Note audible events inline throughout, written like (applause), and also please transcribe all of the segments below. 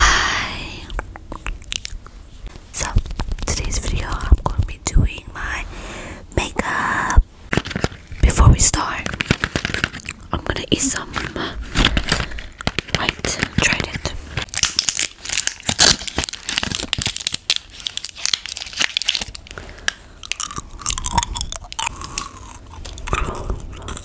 Hi! So, today's video I'm going to be doing my makeup. Before we start, I'm going to eat some white trident.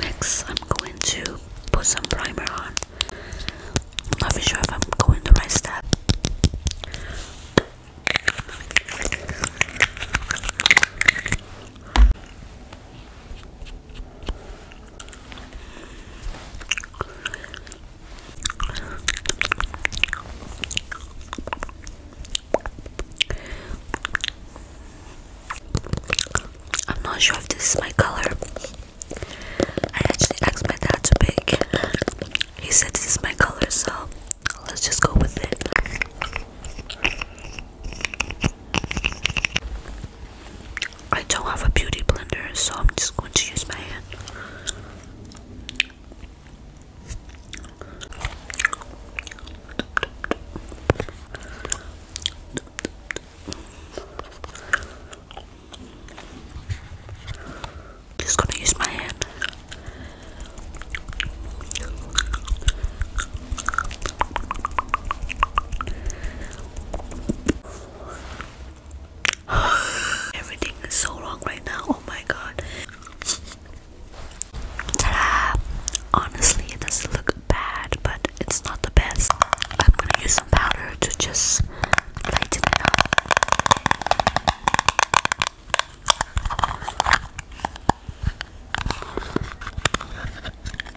Next, I'm going to put some primer on. not sure if I'm going the right step. I'm not sure if this is my color. I actually asked my dad to pick. He said this is my color, so let's just go with it. I don't have a beauty blender, so I'm just going to use my hand. Just gonna use my hand. (sighs) Everything is so wrong right now. Oh my god. Ta-da! Honestly, it does look bad, but it's not the best. I'm gonna use some powder to just lighten it up.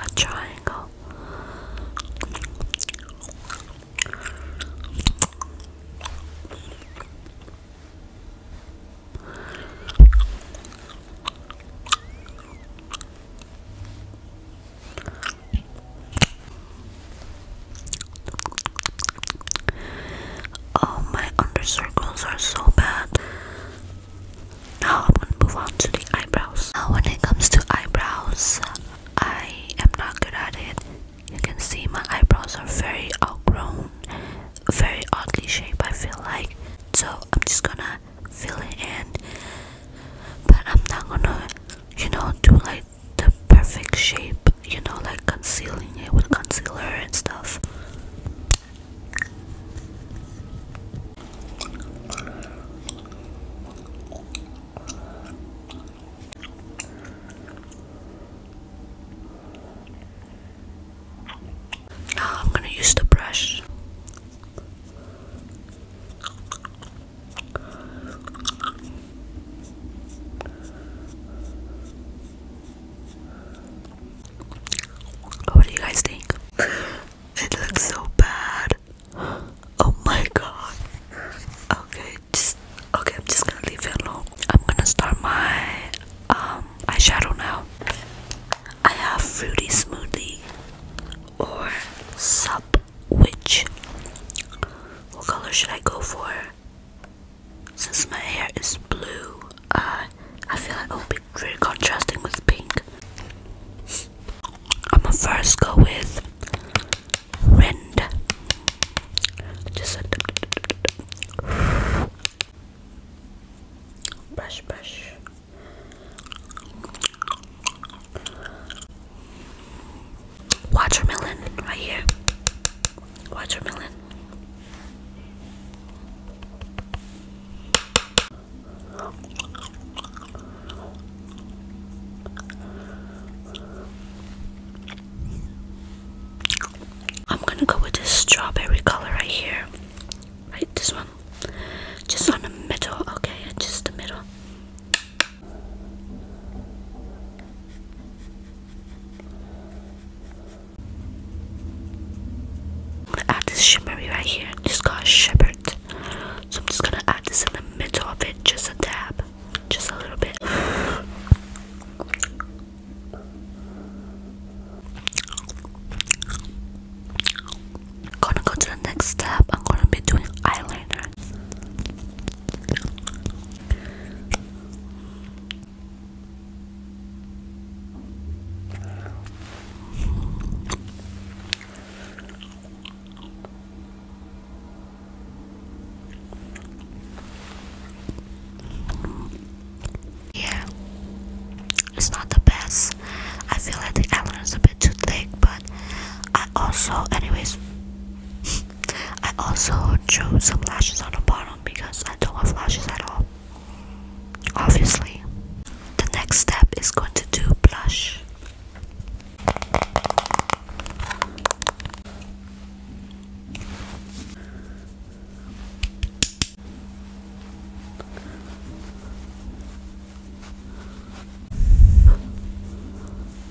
a triangle. Oh, my under circles are so bad. Now I am going to move on to the eyebrows. Now when it comes to eyebrows, I am not good at it. You can see my eyebrows are very outgrown, very oddly shaped I feel like. So I'm just gonna fill it in. But I'm not gonna, you know, do like the perfect shape, you know, like concealing it with concealer and stuff. Now I'm going to use the brush. What do you guys think? It looks so bad. Oh my god. Okay, just okay, I'm just gonna leave it alone. I'm gonna start my um eyeshadow now. I have fruity smoothie or sub. Which? What color should I go for? Since my hair is blue, uh, I feel like it will be very contrasting with pink. I'm gonna first go with Rind. Just brush, brush. Watermelon right here. Watermelon. I'm gonna go with this strawberry color right here. Right, this one. Just on the middle, okay? Just the middle. Add this shimmery right here. It's called Shepherd. So I'm just gonna add this in the middle of it, just a dab, just a little bit. Gonna go to the next step. I'm gonna be doing eyeliner. Yeah, it's not the best. I feel like the island is a bit too thick, but I also, anyways. (laughs) I also chose some lashes on the bottom because I don't have lashes at all. Obviously. The next step is going to do blush.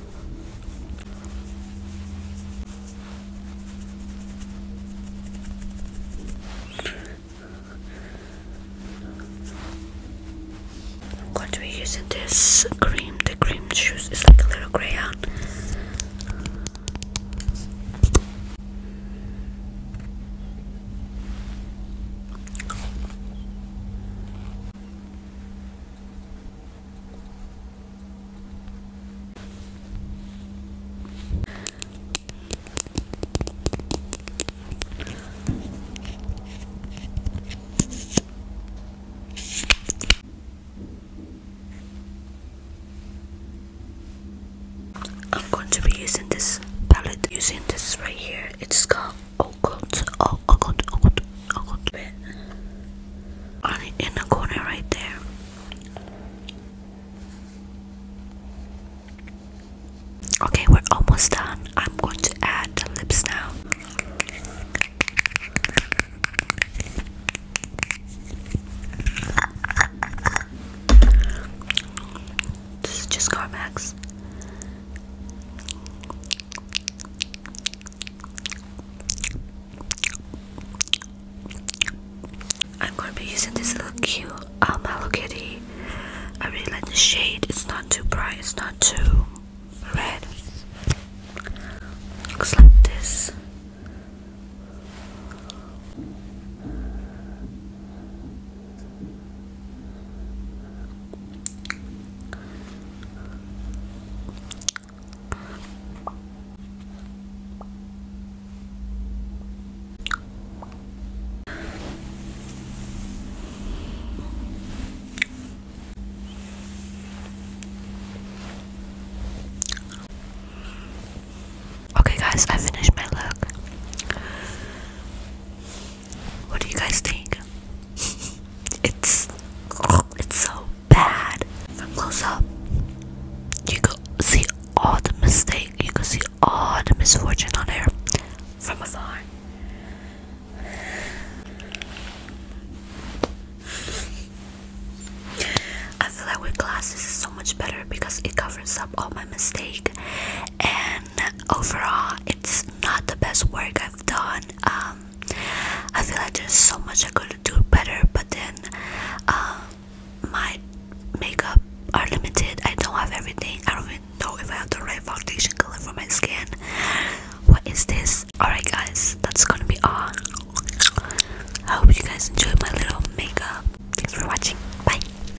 I'm going to be using this cream, the cream shoes is like a little crayon. I'm going to be using this palette using this right here it's called occult, oh, occult, Oh occult Oh on oh, oh, it in the corner right there. Okay, we're almost done. I'm going to add lips now. This is just Carmax. I'm going to be using this little cute um, Hello Kitty. I really like the shade. It's not too bright. It's not too red. Looks like this. Okay, guys, I finished my look. What do you guys think? (laughs) it's it's so bad. From close up, you could see all the mistake. You could see all the misfortune on her from afar. I feel like with glasses it's so much better because it covers up all my mistake and overall it's not the best work I've done um I feel like there's so much I could do better but then um my makeup are limited I don't have everything I don't even know if I have the right foundation color for my skin what is this alright guys that's gonna be all I hope you guys enjoyed my little makeup thanks for watching bye